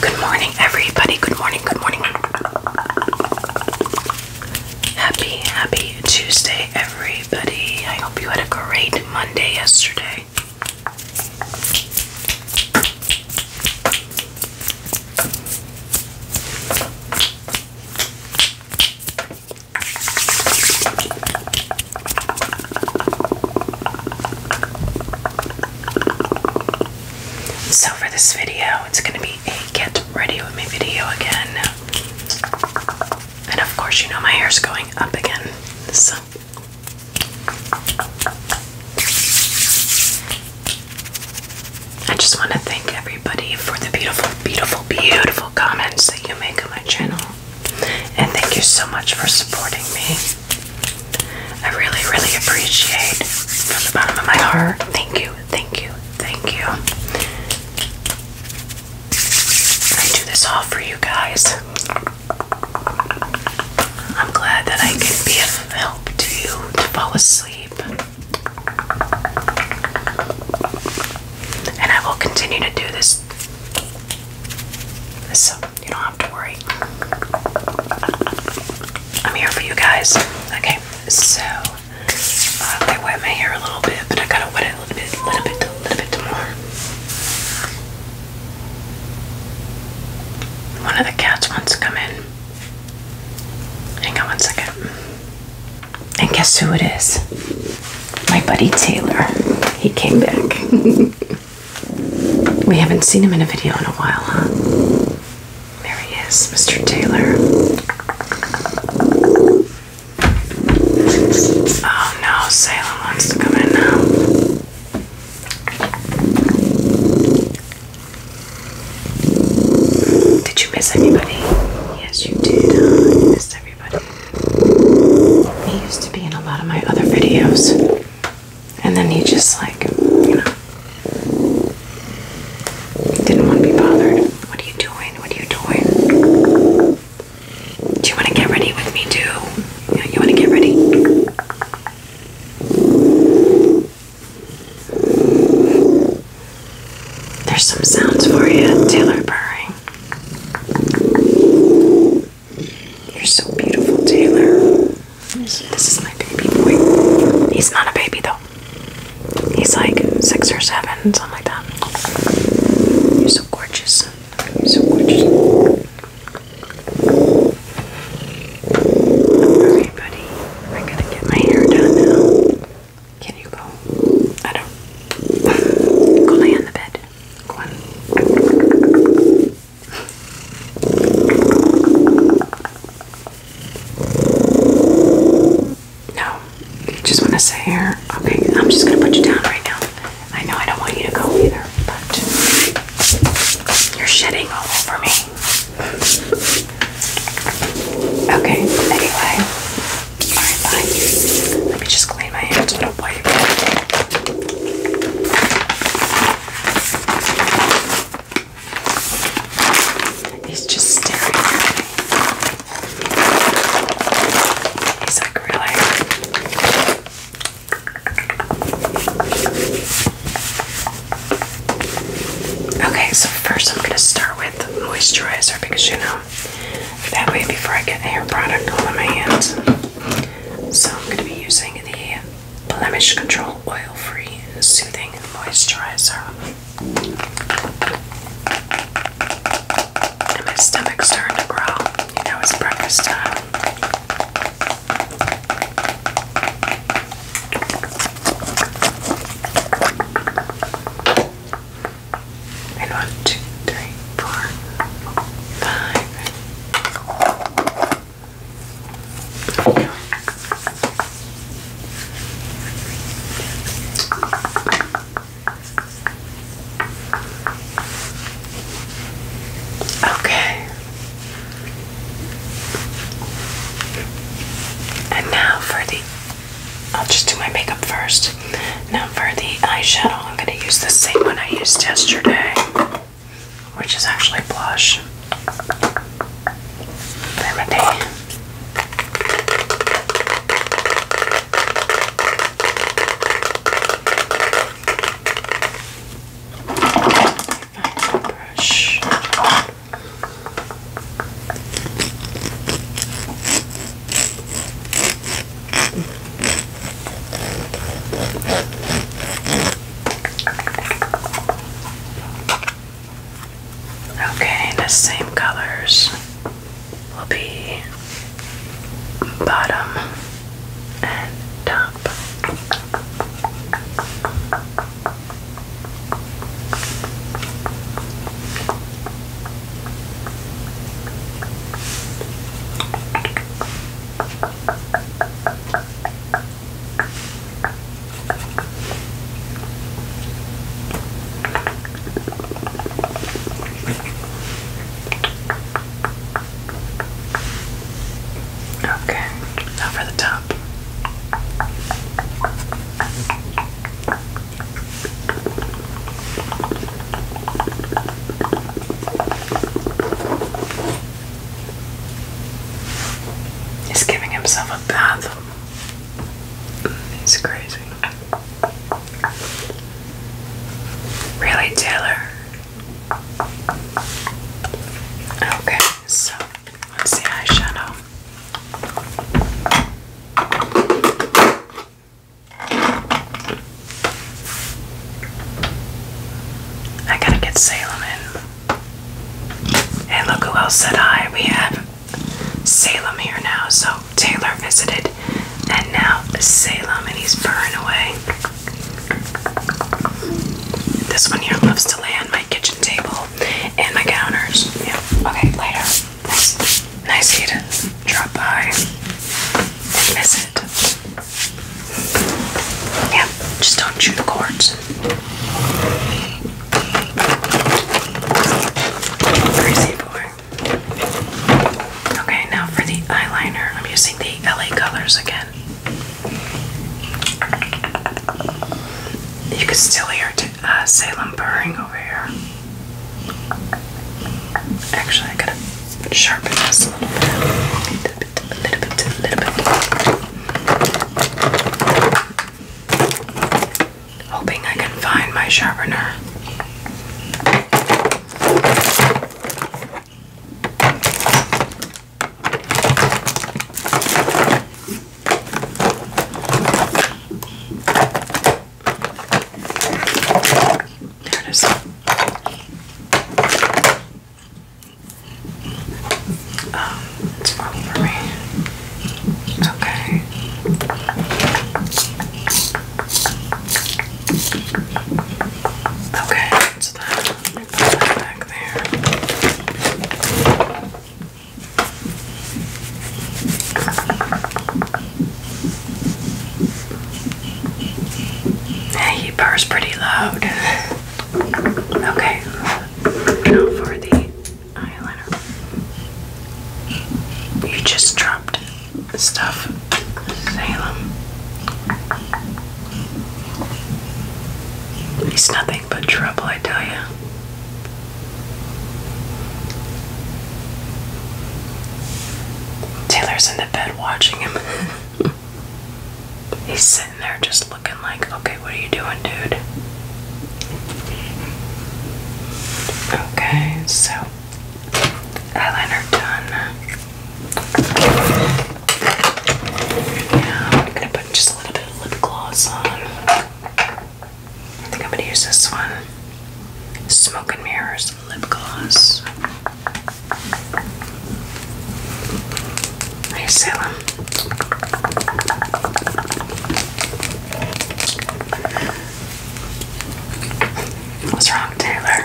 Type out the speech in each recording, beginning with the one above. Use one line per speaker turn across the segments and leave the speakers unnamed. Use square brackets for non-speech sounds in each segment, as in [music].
Good morning, everybody. Good morning, good morning. Happy, happy Tuesday, everybody. I hope you had a great Monday yesterday. So for this video, it's gonna be a get ready with me video again. And of course, you know my hair's going up again. So I just want to thank everybody for the beautiful, beautiful, beautiful comments that you make on my channel. And thank you so much for supporting me. I really, really appreciate from the bottom of my heart. Thank you, thank you, thank you. I do this all for you guys. I'm glad that I can be of help to you to fall asleep. And I will continue to do this. So, you don't don't worry. I'm here for you guys. Okay, so uh, I wet my hair a little bit, but I gotta wet it a little bit, a little bit, a little bit more. One of the cats wants to come in. Hang on one second. And guess who it is? My buddy Taylor. He came back. [laughs] We haven't seen him in a video in a while, huh? There he is, Mr. Taylor. Oh no, Salem wants to come in now. Did you miss anybody? Yes, you did. Oh, missed everybody. He used to be in a lot of my other videos. And then he just like, you know, didn't want to be bothered. What are you doing? What are you doing? Do you want to get ready with me too? You, you want to get ready? There's some sounds for you, Taylor you're so beautiful, Taylor. This is my baby boy. He's not a baby though. He's like six or seven, something like that. You're so gorgeous. so gorgeous. Alright, buddy. We're to get my hair done now. Can you go? I don't. [laughs] go lay on the bed. Go on. No, just want to say here. Okay, I'm just gonna put you down right now. I know I don't want you to go either, but you're shitting all over me. Okay, anyway. Alright, fine. Let me just clean my hands with wipe. He's just staring at me. He's like, really? Okay, so first I'm gonna start with moisturizer because you know that way before I get hair product all in my hands. So I'm gonna be using the Blemish Control Oil Free Soothing Moisturizer. And my stomach's starting to growl. You know, it's breakfast time. one, two, three, four, five. Okay. And now for the I'll just do my makeup first. Now for the eyeshadow, I'm going to use the same one I used yesterday which is actually blush. Remedy. Find my brush. Okay, the same colors will be bottom and top. Okay, now for the top. He's giving himself a bath. He's crazy. Really, Taylor? Okay, so what's the eyeshadow? I gotta get Salem in. And look who else said hi. We have Salem here now. So Taylor visited, and now Salem, and he's burning away. This one here loves to lay on my kitchen table and my counters. Yeah. Okay, later. Nice, nice to drop by and visit. Yeah, just don't chew the cords. Crazy boy. Okay, now for the eyeliner, I'm using the LA colors again. You can still hear uh, Salem purring over here. Actually, I gotta sharpen this a little bit bit, a Hoping I can find my sharpener. There it is. Um, it's falling for me. Okay. Okay, put that back there. he purrs pretty loud. [laughs] Okay, now for the eyeliner. You just dropped stuff, Salem. He's nothing but trouble, I tell you. Taylor's in the bed watching him. [laughs] He's sitting there just looking like, okay, what are you doing, dude? Okay, so eyeliner done. Now I'm gonna put just a little bit of lip gloss on. I think I'm gonna use this one. Smoke Mirrors lip gloss. I sell them. What's wrong, Taylor?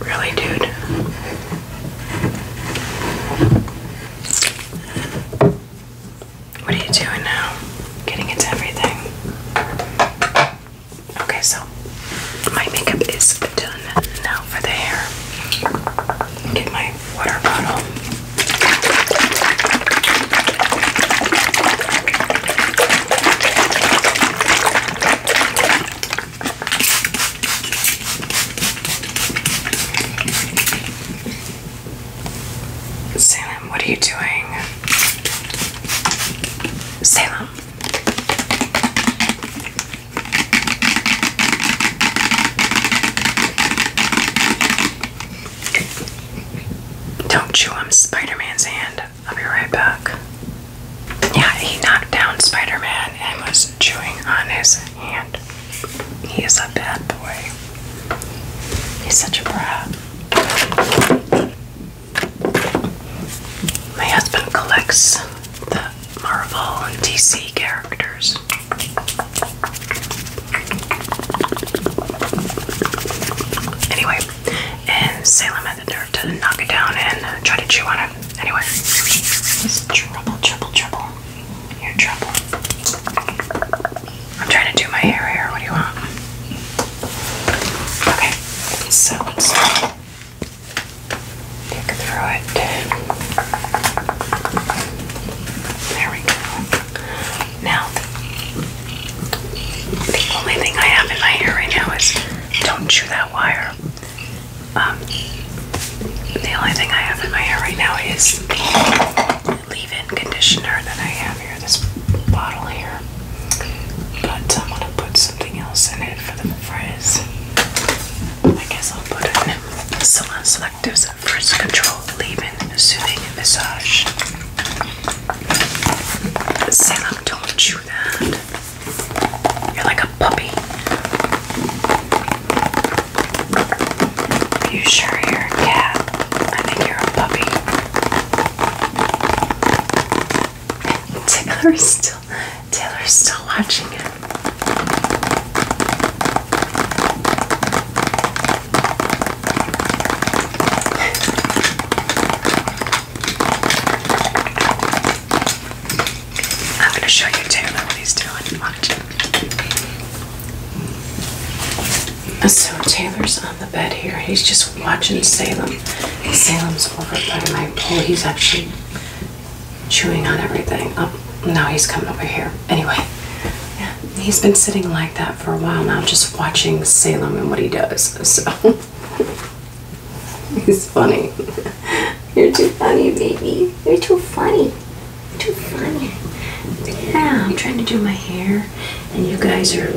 Really, dude? What are you doing now? Getting into everything. Okay, so my makeup is done now for the hair. Get my water bottle. Salem, what are you doing? Salem. Don't chew on Spider Man's hand. I'll be right back. Yeah, he knocked down Spider Man and was chewing on his and he is a bad boy. He's such a brat. My husband collects the Marvel and DC characters. Anyway, and Salem had the nerve to knock it down and try to chew on it. Anyway, it's trouble, trouble, you're in trouble. I'm trying to do my hair here. What do you want? Okay, so let's pick through it. There we go. Now, the only thing I have in my hair right now is don't chew that wire. Um, the only thing I have in my hair right now is the leave-in conditioner that I have here, this bottle here. But I'm gonna put something else in it for the frizz. I guess I'll put in Salon Selectives Frizz Control Leave-in Soothing Massage. Salon, don't chew that. You're like a puppy. You sure you I think you're a puppy. [laughs] Taylor's still Taylor's still watching I'm gonna show you Taylor what he's doing. Watch it. So Taylor's on the bed here. He's just watching Salem. Salem's over by my pool. He's actually chewing on everything. Oh, now he's coming over here. Anyway, yeah, he's been sitting like that for a while now, just watching Salem and what he does. So [laughs] he's funny. [laughs] You're too funny, baby. You're too funny. Too funny. Yeah, I'm trying to do my hair, and you guys are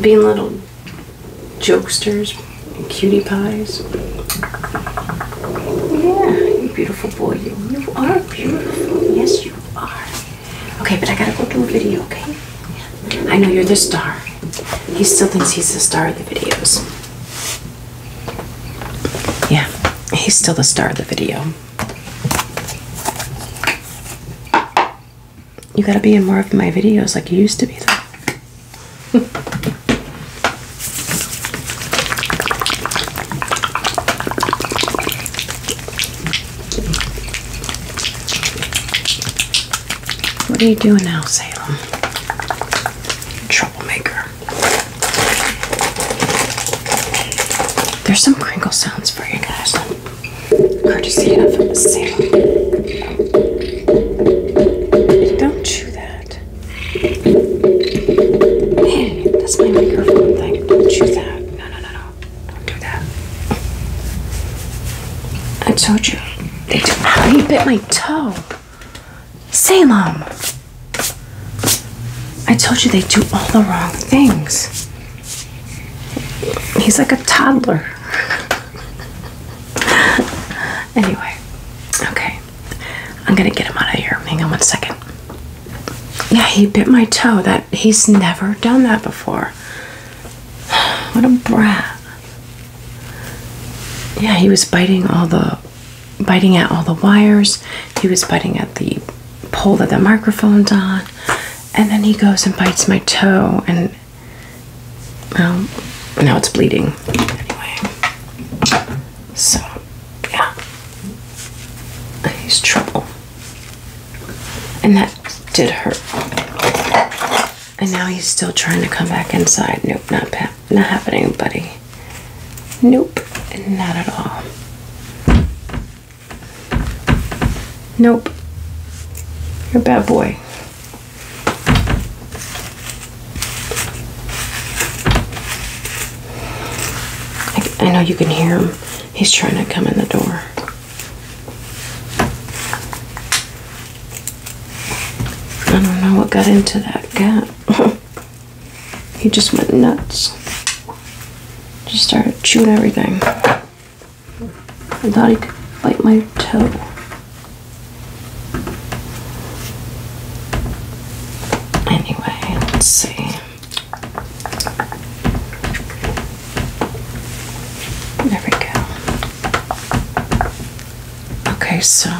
being little jokesters and cutie pies. Yeah, you beautiful boy. You, you are beautiful. Yes, you are. Okay, but I gotta go do a video, okay? I know you're the star. He still thinks he's the star of the videos. Yeah, he's still the star of the video. You gotta be in more of my videos like you used to be, though. [laughs] what are you doing now, Salem? Troublemaker. There's some crinkle sounds for you guys. Courtesy of Sam. Don't chew that. Hey, that's my microphone thing. chew that. No, no, no, no. Don't do that. I told you. How you bit my toe? Salem! I told you they do all the wrong things. He's like a toddler. [laughs] anyway, okay. I'm gonna get him out of here. Hang on one second. Yeah, he bit my toe. That he's never done that before. [sighs] What a brat. Yeah, he was biting all the biting at all the wires. He was biting at the pole that the microphone's on. And then he goes and bites my toe, and well, now it's bleeding. Anyway, so yeah, he's trouble, and that did hurt. And now he's still trying to come back inside. Nope, not bad. Not happening, buddy. Nope, not at all. Nope. You're a bad boy. I, I know you can hear him. He's trying to come in the door. I don't know what got into that gap. [laughs] He just went nuts. Just started chewing everything. I thought he could bite my toe. Anyway, let's see. There we go. Okay, so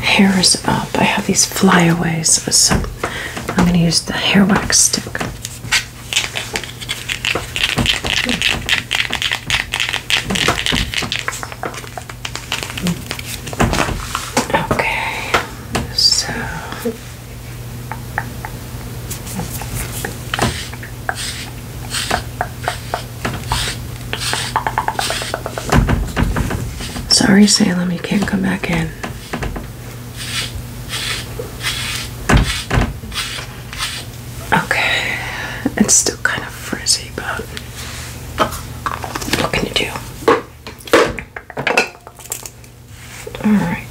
Hair is up. I have these flyaways, so I'm going to use the hair wax stick. Okay, so Sorry, Salem, you can't come back in. Okay, it's still kind of frizzy, but what can you do? Alright.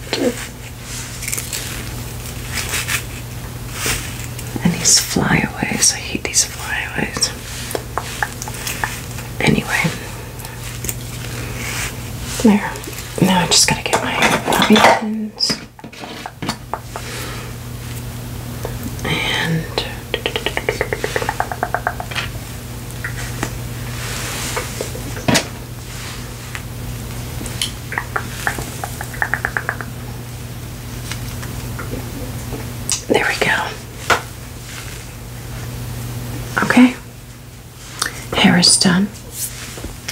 And these flyaways, I hate these flyaways. Anyway, there. Now I just gotta get my bobby pins and. There we go. Okay. Hair is done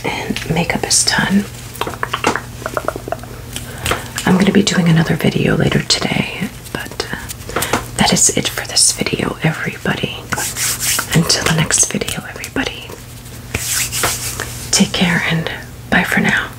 and makeup is done. I'm going to be doing another video later today, but uh, that is it for this video, everybody. Until the next video, everybody. Take care and bye for now.